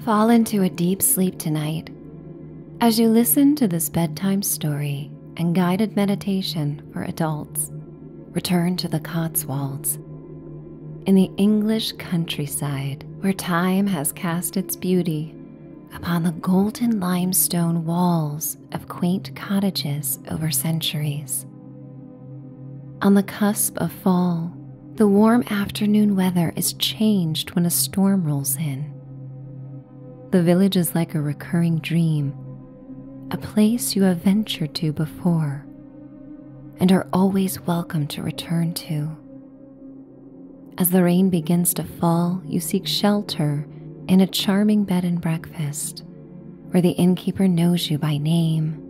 Fall into a deep sleep tonight as you listen to this bedtime story and guided meditation for adults. Return to the Cotswolds in the English countryside where time has cast its beauty upon the golden limestone walls of quaint cottages over centuries. On the cusp of fall, the warm afternoon weather is changed when a storm rolls in. The village is like a recurring dream, a place you have ventured to before and are always welcome to return to. As the rain begins to fall, you seek shelter in a charming bed and breakfast where the innkeeper knows you by name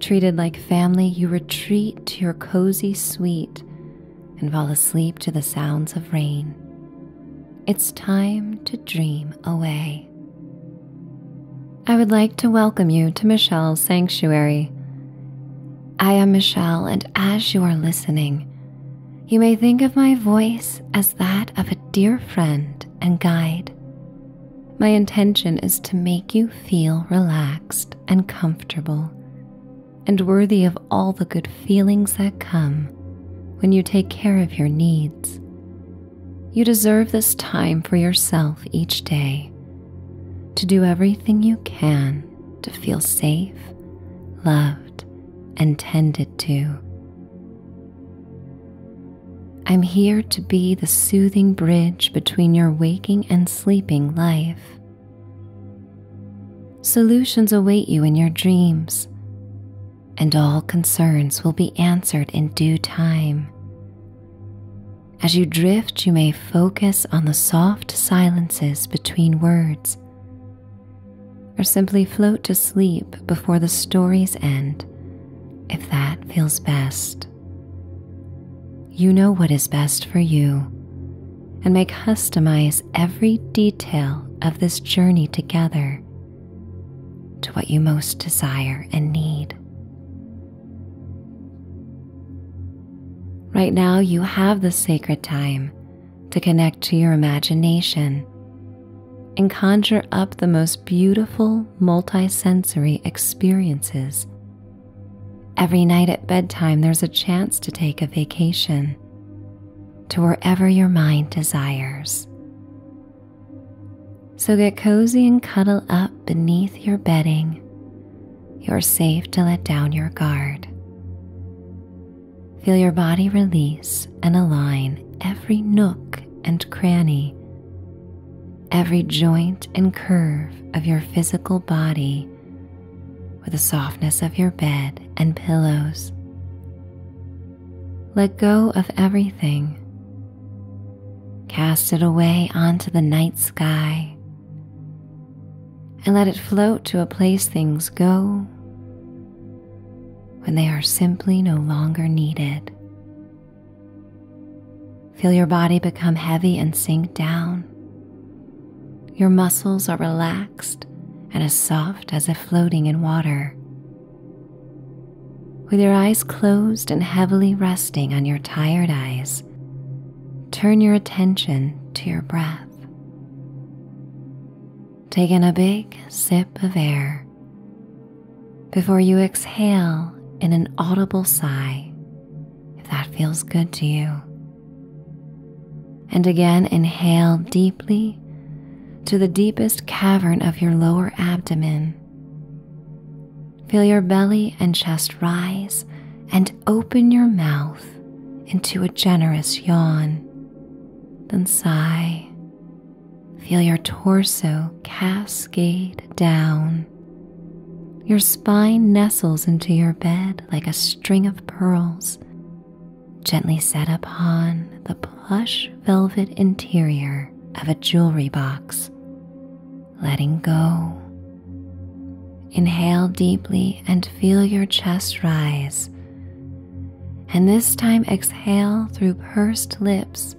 Treated like family, you retreat to your cozy suite and fall asleep to the sounds of rain. It's time to dream away. I would like to welcome you to Michelle's Sanctuary. I am Michelle, and as you are listening, you may think of my voice as that of a dear friend and guide my intention is to make you feel relaxed and comfortable and worthy of all the good feelings that come when you take care of your needs. You deserve this time for yourself each day to do everything you can to feel safe, loved, and tended to. I'm here to be the soothing bridge between your waking and sleeping life. Solutions await you in your dreams, and all concerns will be answered in due time. As you drift, you may focus on the soft silences between words, or simply float to sleep before the story's end if that feels best. You know what is best for you and may customize every detail of this journey together to what you most desire and need. Right now, you have the sacred time to connect to your imagination and conjure up the most beautiful multisensory experiences Every night at bedtime, there's a chance to take a vacation to wherever your mind desires. So get cozy and cuddle up beneath your bedding. You're safe to let down your guard. Feel your body release and align every nook and cranny every joint and curve of your physical body with the softness of your bed and pillows. Let go of everything. Cast it away onto the night sky and let it float to a place things go when they are simply no longer needed. Feel your body become heavy and sink down. Your muscles are relaxed and as soft as if floating in water. With your eyes closed and heavily resting on your tired eyes, turn your attention to your breath. Take in a big sip of air before you exhale in an audible sigh if that feels good to you. And again, inhale deeply to the deepest cavern of your lower abdomen. Feel your belly and chest rise and open your mouth into a generous yawn. Then sigh. Feel your torso cascade down. Your spine nestles into your bed like a string of pearls, gently set upon the plush velvet interior of a jewelry box. Letting go. Inhale deeply and feel your chest rise. And this time exhale through pursed lips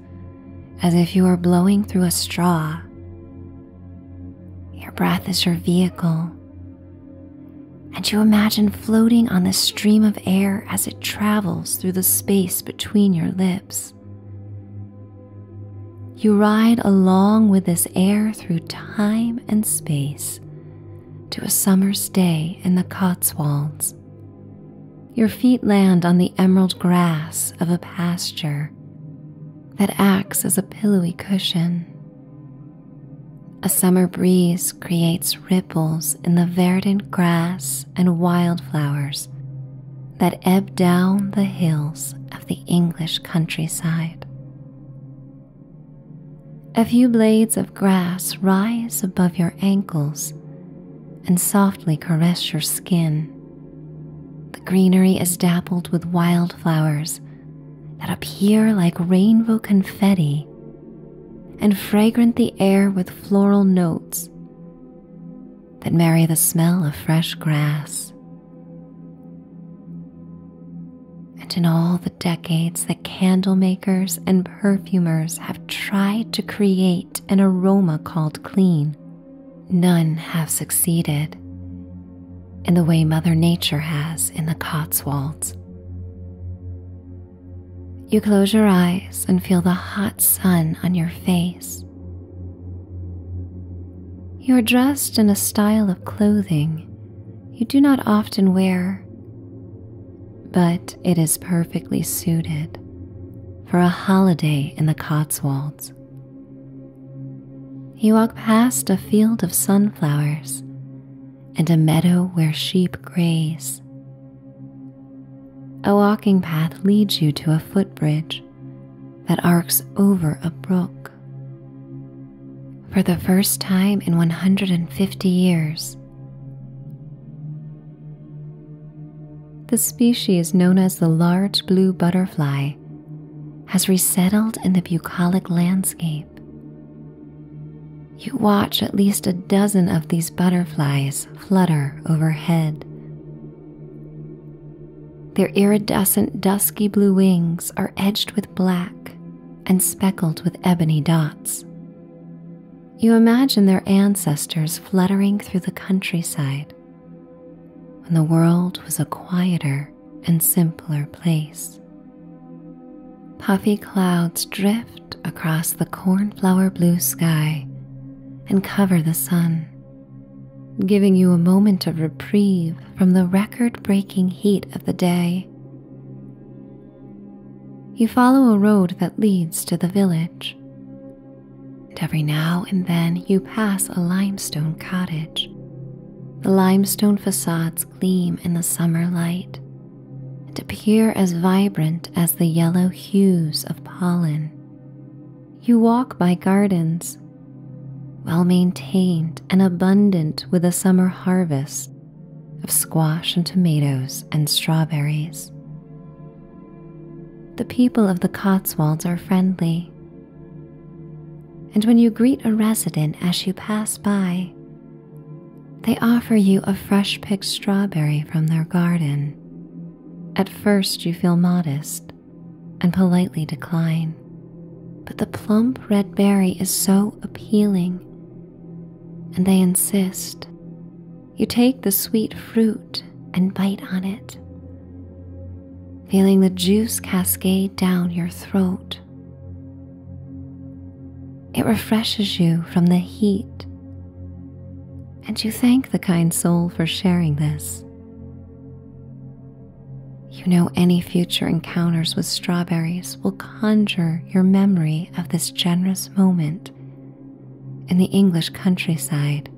as if you are blowing through a straw. Your breath is your vehicle, and you imagine floating on the stream of air as it travels through the space between your lips. You ride along with this air through time and space to a summer's day in the Cotswolds. Your feet land on the emerald grass of a pasture, that acts as a pillowy cushion. A summer breeze creates ripples in the verdant grass and wildflowers that ebb down the hills of the English countryside. A few blades of grass rise above your ankles and softly caress your skin the greenery is dappled with wildflowers that appear like rainbow confetti and fragrant the air with floral notes that marry the smell of fresh grass. And in all the decades that candle makers and perfumers have tried to create an aroma called clean, None have succeeded in the way Mother Nature has in the Cotswolds. You close your eyes and feel the hot sun on your face. You are dressed in a style of clothing you do not often wear, but it is perfectly suited for a holiday in the Cotswolds. You walk past a field of sunflowers and a meadow where sheep graze. A walking path leads you to a footbridge that arcs over a brook. For the first time in 150 years, the species known as the large blue butterfly has resettled in the bucolic landscape. You watch at least a dozen of these butterflies flutter overhead. Their iridescent dusky blue wings are edged with black and speckled with ebony dots. You imagine their ancestors fluttering through the countryside when the world was a quieter and simpler place. Puffy clouds drift across the cornflower blue sky and cover the sun, giving you a moment of reprieve from the record breaking heat of the day. You follow a road that leads to the village, and every now and then you pass a limestone cottage the limestone facades gleam in the summer light and appear as vibrant as the yellow hues of pollen. You walk by gardens, well maintained and abundant with a summer harvest of squash and tomatoes and strawberries. The people of the Cotswolds are friendly and when you greet a resident as you pass by, they offer you a fresh picked strawberry from their garden. At first, you feel modest and politely decline, but the plump red berry is so appealing, and they insist. You take the sweet fruit and bite on it feeling the juice cascade down your throat. It refreshes you from the heat, and you thank the kind soul for sharing this. You know, any future encounters with strawberries will conjure your memory of this generous moment in the English countryside.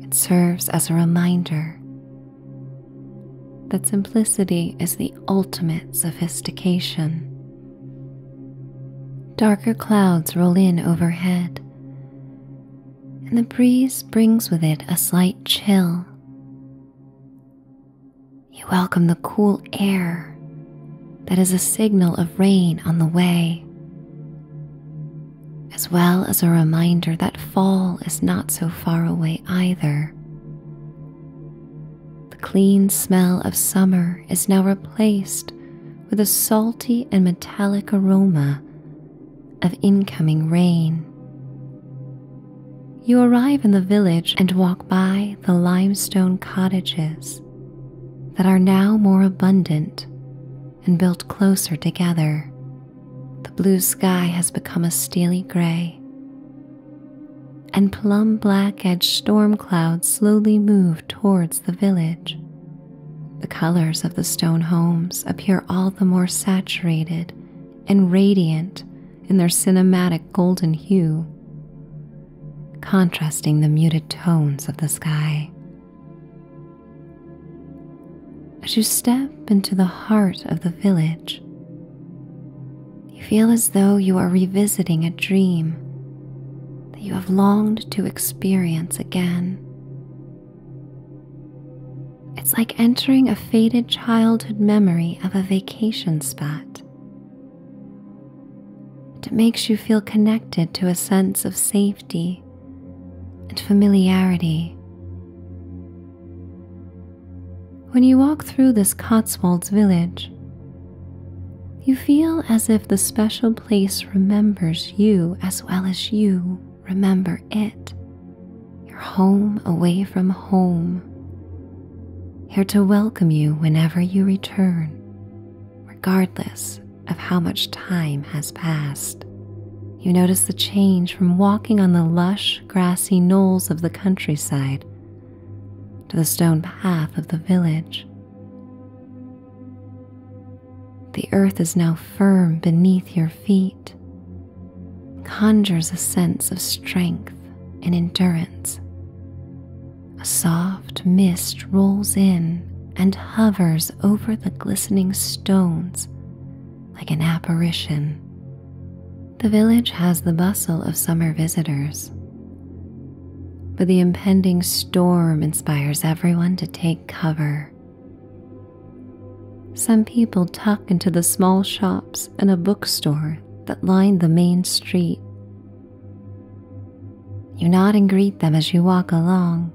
It serves as a reminder that simplicity is the ultimate sophistication. Darker clouds roll in overhead, and the breeze brings with it a slight chill. You welcome the cool air that is a signal of rain on the way as well as a reminder that fall is not so far away either. The clean smell of summer is now replaced with a salty and metallic aroma of incoming rain. You arrive in the village and walk by the limestone cottages that are now more abundant and built closer together. The blue sky has become a steely gray, and plum black edged storm clouds slowly move towards the village. The colors of the stone homes appear all the more saturated and radiant in their cinematic golden hue, contrasting the muted tones of the sky. As you step into the heart of the village, you feel as though you are revisiting a dream that you have longed to experience again. It's like entering a faded childhood memory of a vacation spot. It makes you feel connected to a sense of safety and familiarity when you walk through this Cotswolds village, you feel as if the special place remembers you as well as you remember it. Your home away from home. Here to welcome you whenever you return, regardless of how much time has passed. You notice the change from walking on the lush, grassy knolls of the countryside to the stone path of the village. The earth is now firm beneath your feet, conjures a sense of strength and endurance. A soft mist rolls in and hovers over the glistening stones like an apparition. The village has the bustle of summer visitors, but the impending storm inspires everyone to take cover. Some people tuck into the small shops and a bookstore that line the main street. You nod and greet them as you walk along,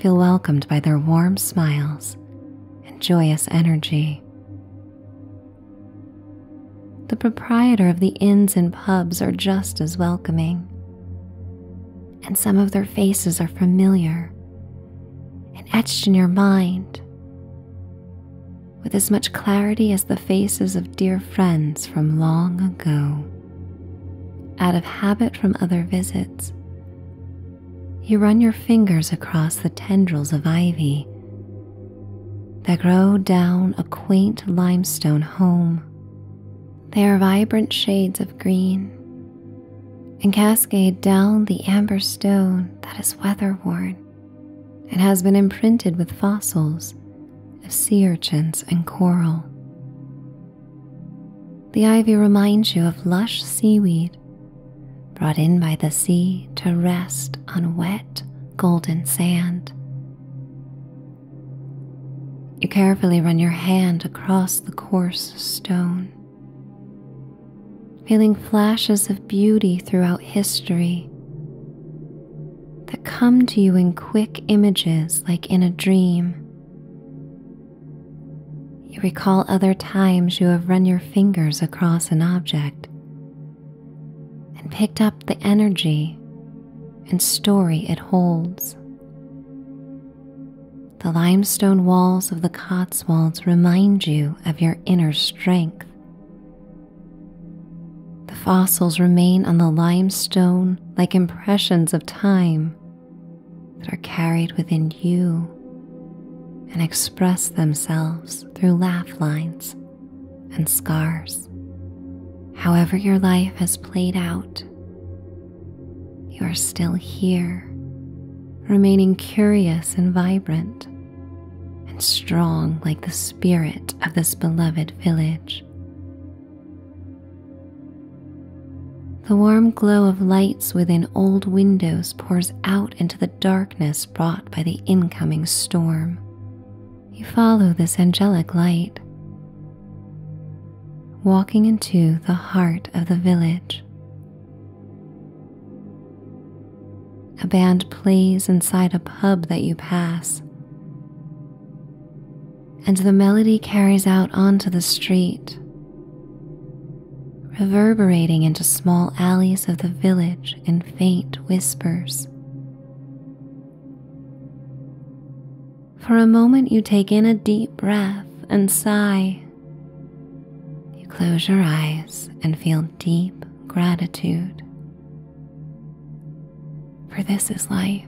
feel welcomed by their warm smiles and joyous energy. The proprietor of the inns and pubs are just as welcoming, and some of their faces are familiar and etched in your mind with as much clarity as the faces of dear friends from long ago. Out of habit from other visits, you run your fingers across the tendrils of ivy that grow down a quaint limestone home. They are vibrant shades of green and cascade down the amber stone that is weather worn and has been imprinted with fossils of sea urchins and coral. The ivy reminds you of lush seaweed brought in by the sea to rest on wet, golden sand. You carefully run your hand across the coarse stone, feeling flashes of beauty throughout history that come to you in quick images like in a dream. You recall other times you have run your fingers across an object and picked up the energy and story it holds. The limestone walls of the Cotswolds remind you of your inner strength. The fossils remain on the limestone like impressions of time that are carried within you and express themselves through laugh lines and scars. However, your life has played out, you are still here, remaining curious and vibrant, and strong like the spirit of this beloved village. The warm glow of light within old windows pours out into the darkness brought by the incoming storm. You follow this angelic light, walking into the heart of the village. A band plays inside a pub that you pass, and the melody carries out onto the street reverberating into small alleys of the village in faint whispers. For a moment, you take in a deep breath and sigh. You close your eyes and feel deep gratitude. For this is life,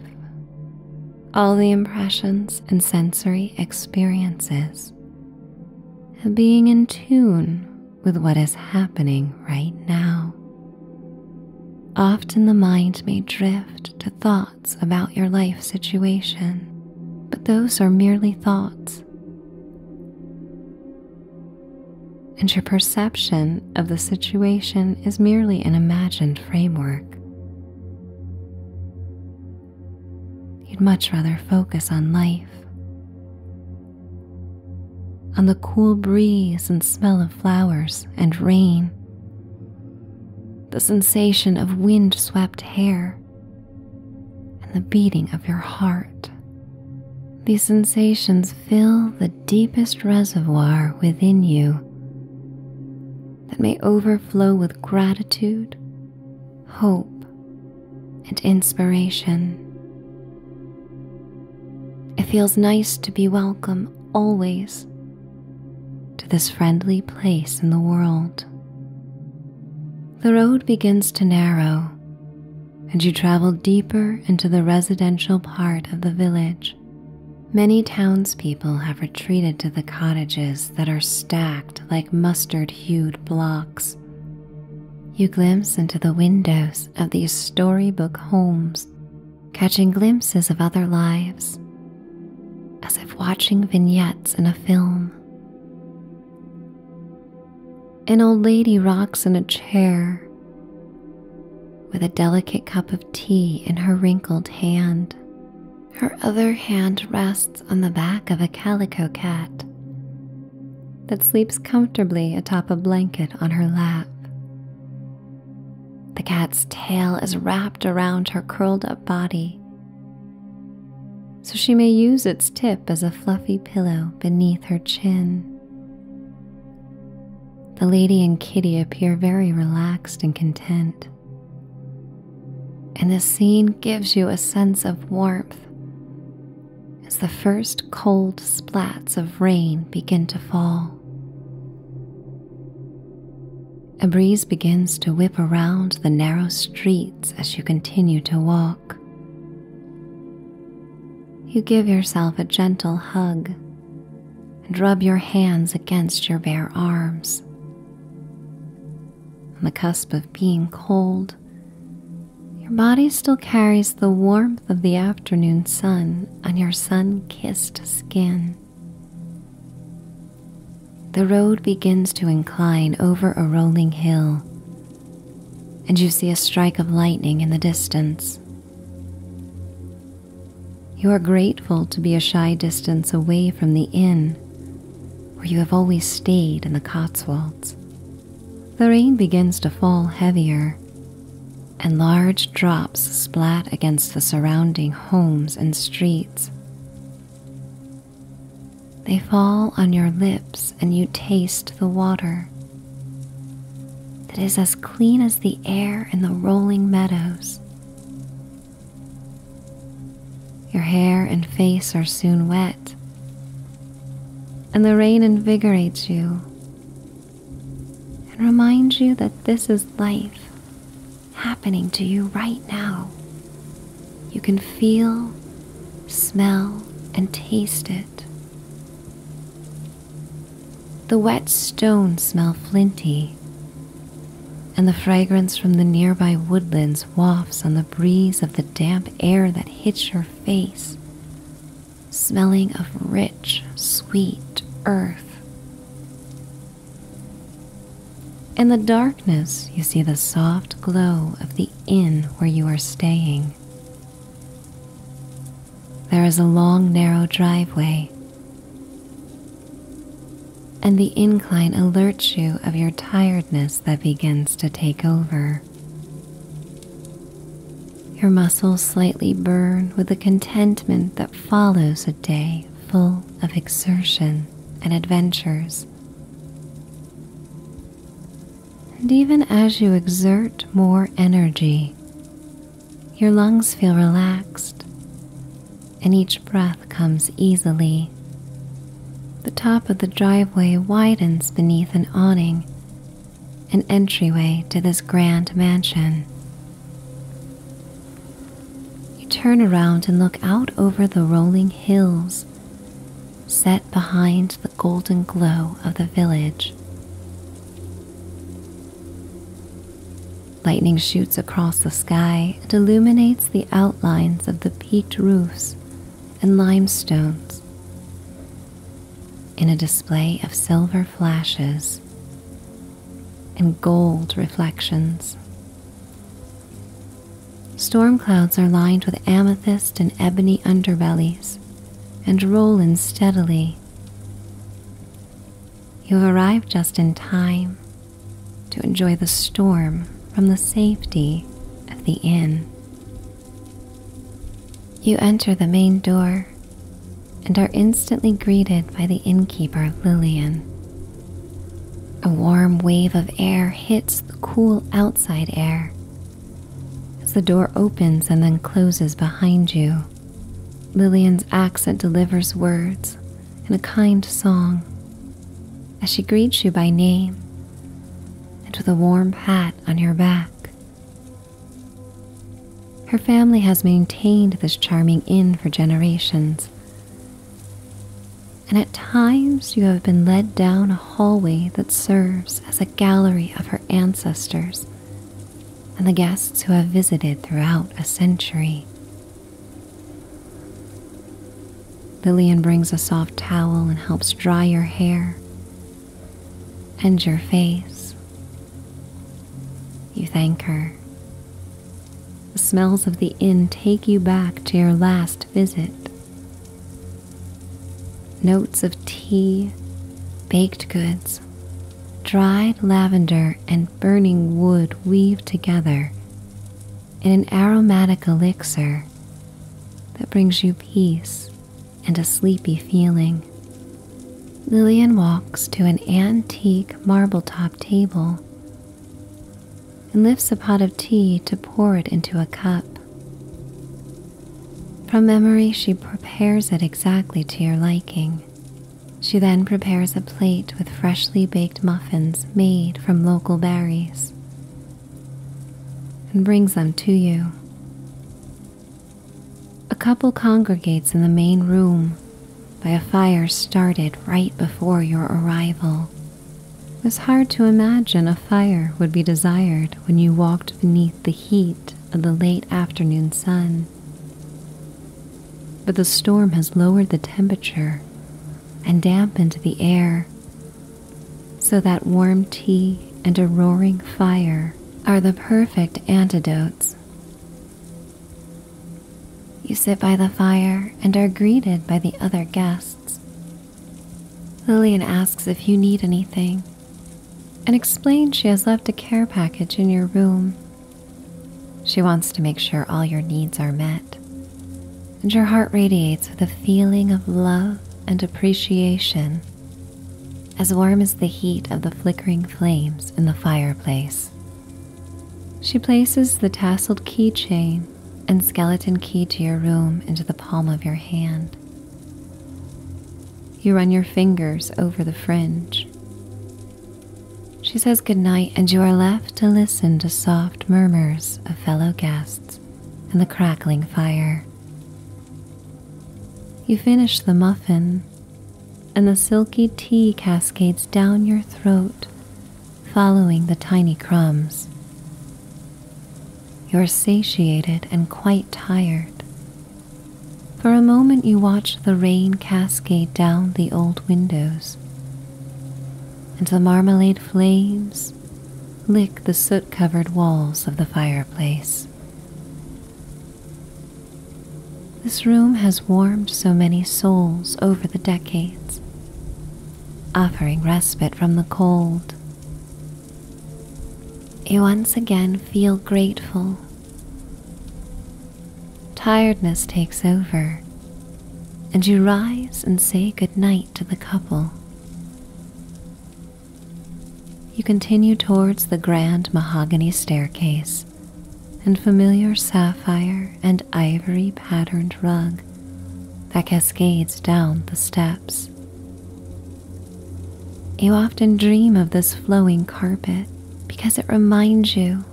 all the impressions and sensory experiences being in tune with what is happening right now. Often the mind may drift to thoughts about your life situation, but those are merely thoughts. And your perception of the situation is merely an imagined framework. You'd much rather focus on life, on the cool breeze and smell of flowers and rain, the sensation of wind swept hair, and the beating of your heart. These sensations fill the deepest reservoir within you that may overflow with gratitude, hope, and inspiration. It feels nice to be welcome always to this friendly place in the world. The road begins to narrow, and you travel deeper into the residential part of the village. Many townspeople have retreated to the cottages that are stacked like mustard hued blocks you glimpse into the windows of these storybook homes, catching glimpses of other lives, as if watching vignettes in a film. An old lady rocks in a chair with a delicate cup of tea in her wrinkled hand. Her other hand rests on the back of a calico cat that sleeps comfortably atop a blanket on her lap. The cat's tail is wrapped around her curled up body, so she may use its tip as a fluffy pillow beneath her chin. The lady and kitty appear very relaxed and content, and the scene gives you a sense of warmth as the first cold splats of rain begin to fall. A breeze begins to whip around the narrow streets as you continue to walk. You give yourself a gentle hug and rub your hands against your bare arms. On the cusp of being cold, your body still carries the warmth of the afternoon sun on your sun kissed skin. The road begins to incline over a rolling hill, and you see a strike of lightning in the distance. You are grateful to be a shy distance away from the inn where you have always stayed in the Cotswolds the rain begins to fall heavier, and large drops splat against the surrounding homes and streets. They fall on your lips, and you taste the water that is as clean as the air in the rolling meadows. Your hair and face are soon wet and the rain invigorates you and reminds you that this is life happening to you right now. You can feel, smell, and taste it. The wet stones smell flinty, and the fragrance from the nearby woodlands wafts on the breeze of the damp air that hits your face smelling of rich, sweet earth. In the darkness, you see the soft glow of the inn where you are staying. There is a long, narrow driveway, and the incline alerts you of your tiredness that begins to take over. Your muscles slightly burn with the contentment that follows a day full of exertion and adventures. And even as you exert more energy, your lungs feel relaxed and each breath comes easily. The top of the driveway widens beneath an awning an entryway to this grand mansion. You turn around and look out over the rolling hills set behind the golden glow of the village. Lightning shoots across the sky and illuminates the outlines of the peaked roofs and limestones in a display of silver flashes and gold reflections. Storm clouds are lined with amethyst and ebony underbellies and roll in steadily. You have arrived just in time to enjoy the storm from the safety of the inn. You enter the main door and are instantly greeted by the innkeeper Lillian. A warm wave of air hits the cool outside air. As the door opens and then closes behind you, Lillian's accent delivers words in a kind song as she greets you by name and with a warm pat on your back. Her family has maintained this charming inn for generations. And at times you have been led down a hallway that serves as a gallery of her ancestors and the guests who have visited throughout a century. Lillian brings a soft towel and helps dry your hair and your face. You thank her. The smells of the inn take you back to your last visit. Notes of tea, baked goods, dried lavender, and burning wood weave together in an aromatic elixir that brings you peace and a sleepy feeling. Lillian walks to an antique marble top table and lifts a pot of tea to pour it into a cup. From memory, she prepares it exactly to your liking. She then prepares a plate with freshly baked muffins made from local berries and brings them to you. A couple congregates in the main room by a fire started right before your arrival. It was hard to imagine a fire would be desired when you walked beneath the heat of the late afternoon sun. But the storm has lowered the temperature and dampened the air so that warm tea and a roaring fire are the perfect antidotes. You sit by the fire and are greeted by the other guests. Lillian asks if you need anything and explains she has left a care package in your room. She wants to make sure all your needs are met, and your heart radiates with a feeling of love and appreciation as warm as the heat of the flickering flames in the fireplace. She places the tasseled keychain and skeleton key to your room into the palm of your hand. You run your fingers over the fringe. She says goodnight, and you are left to listen to soft murmurs of fellow guests and the crackling fire. You finish the muffin, and the silky tea cascades down your throat, following the tiny crumbs. You're satiated and quite tired. For a moment, you watch the rain cascade down the old windows, and the marmalade flames lick the soot covered walls of the fireplace. This room has warmed so many souls over the decades, offering respite from the cold. You once again feel grateful. Tiredness takes over, and you rise and say goodnight to the couple. You continue towards the grand mahogany staircase and familiar sapphire and ivory patterned rug that cascades down the steps. You often dream of this flowing carpet because it reminds you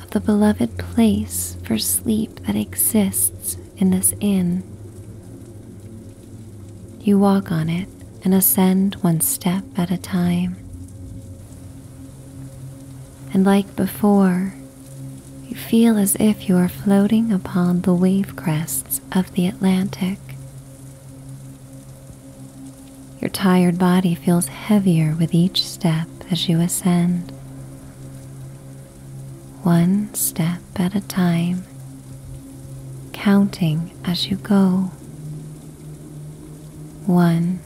of the beloved place for sleep that exists in this inn. You walk on it and ascend one step at a time. And like before, you feel as if you are floating upon the wave crests of the Atlantic. Your tired body feels heavier with each step as you ascend. One step at a time, counting as you go. One,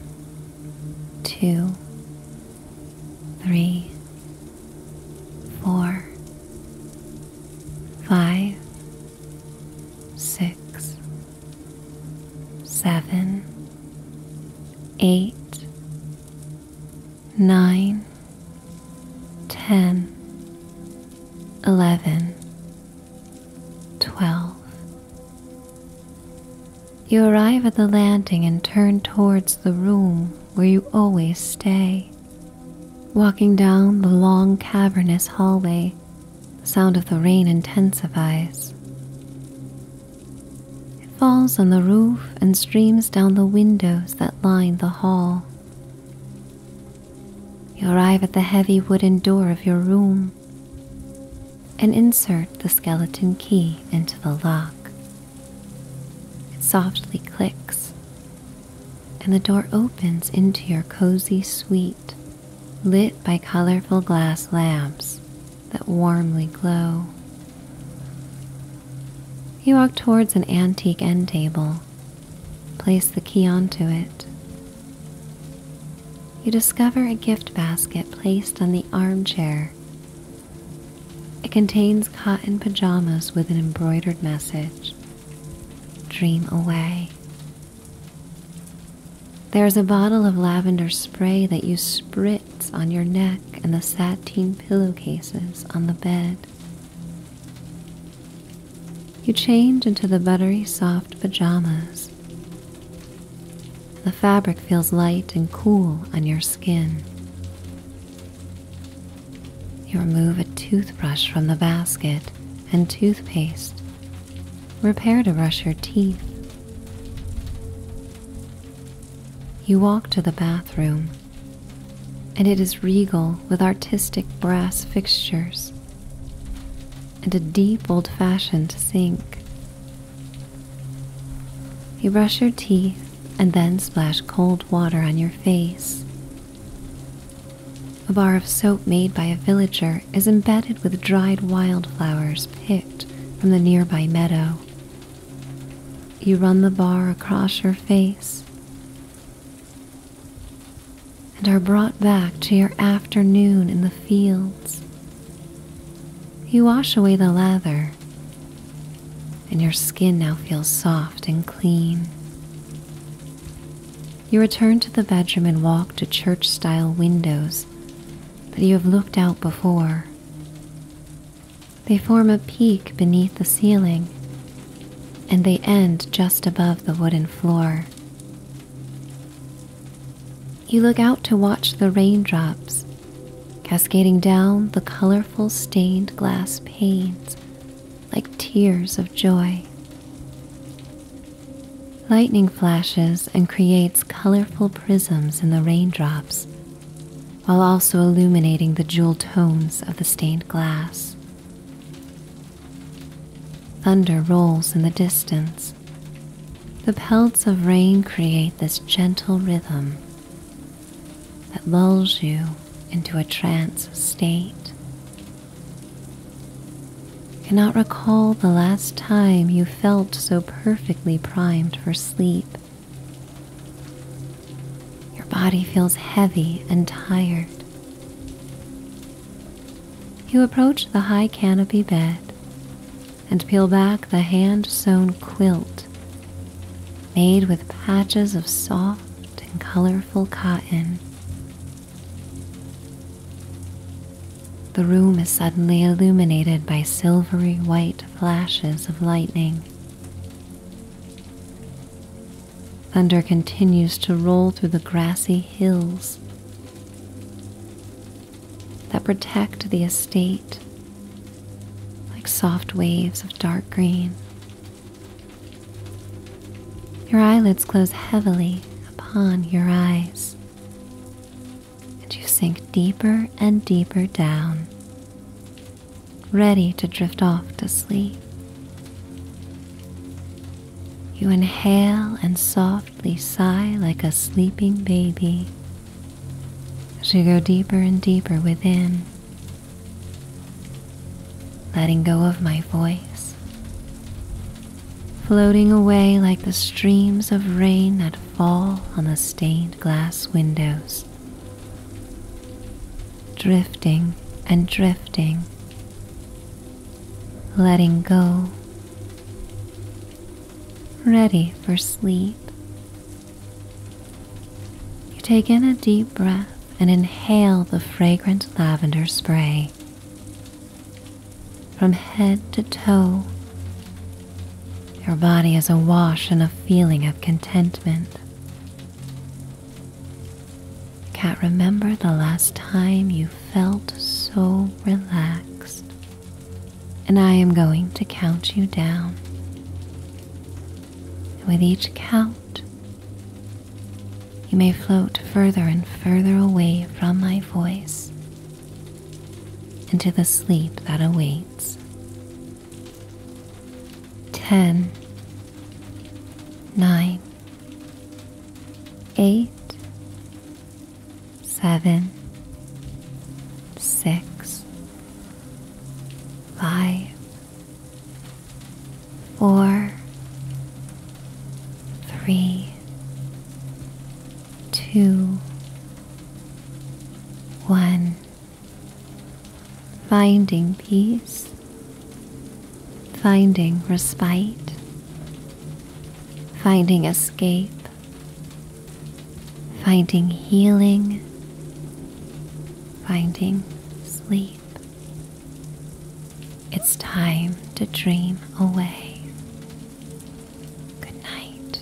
two, three, four, five, six, seven, eight, nine, ten, eleven. 12. You arrive at the landing and turn towards the room where you always stay. Walking down the long cavernous hallway, the sound of the rain intensifies. It falls on the roof and streams down the windows that line the hall. You arrive at the heavy wooden door of your room and insert the skeleton key into the lock. It softly clicks, and the door opens into your cozy suite, lit by colorful glass lamps that warmly glow. You walk towards an antique end table Place the key onto it. You discover a gift basket placed on the armchair. It contains cotton pajamas with an embroidered message Dream away. There is a bottle of lavender spray that you spritz on your neck and the sateen pillowcases on the bed. You change into the buttery soft pajamas. The fabric feels light and cool on your skin. You remove a toothbrush from the basket and toothpaste. Prepare to brush your teeth. You walk to the bathroom, and it is regal with artistic brass fixtures and a deep old fashioned sink. You brush your teeth and then splash cold water on your face. A bar of soap made by a villager is embedded with dried wildflowers picked from the nearby meadow. You run the bar across your face and are brought back to your afternoon in the fields. You wash away the lather, and your skin now feels soft and clean. You return to the bedroom and walk to church style windows that you have looked out before. They form a peak beneath the ceiling and they end just above the wooden floor you look out to watch the raindrops cascading down the colorful stained glass panes like tears of joy. Lightning flashes and creates colorful prisms in the raindrops while also illuminating the jewel tones of the stained glass. Thunder rolls in the distance. The pelts of rain create this gentle rhythm that lulls you into a trance state. Cannot recall the last time you felt so perfectly primed for sleep. Your body feels heavy and tired. You approach the high canopy bed and peel back the hand sewn quilt made with patches of soft and colorful cotton. The room is suddenly illuminated by silvery white flashes of lightning. Thunder continues to roll through the grassy hills that protect the estate like soft waves of dark green. Your eyelids close heavily upon your eyes, and you sink deeper and deeper down, ready to drift off to sleep. You inhale and softly sigh like a sleeping baby as you go deeper and deeper within, letting go of my voice, floating away like the streams of rain that fall on the stained glass windows, drifting and drifting, letting go ready for sleep. You take in a deep breath and inhale the fragrant lavender spray. From head to toe, your body is awash in a feeling of contentment. Can't remember the last time you felt so relaxed. And I am going to count you down. with each count, you may float further and further away from my voice into the sleep that awaits. Ten, nine, eight, seven, six, five, four, three, two, one. Finding peace, finding respite, finding escape, finding healing, finding sleep. It's time to dream away. Good night.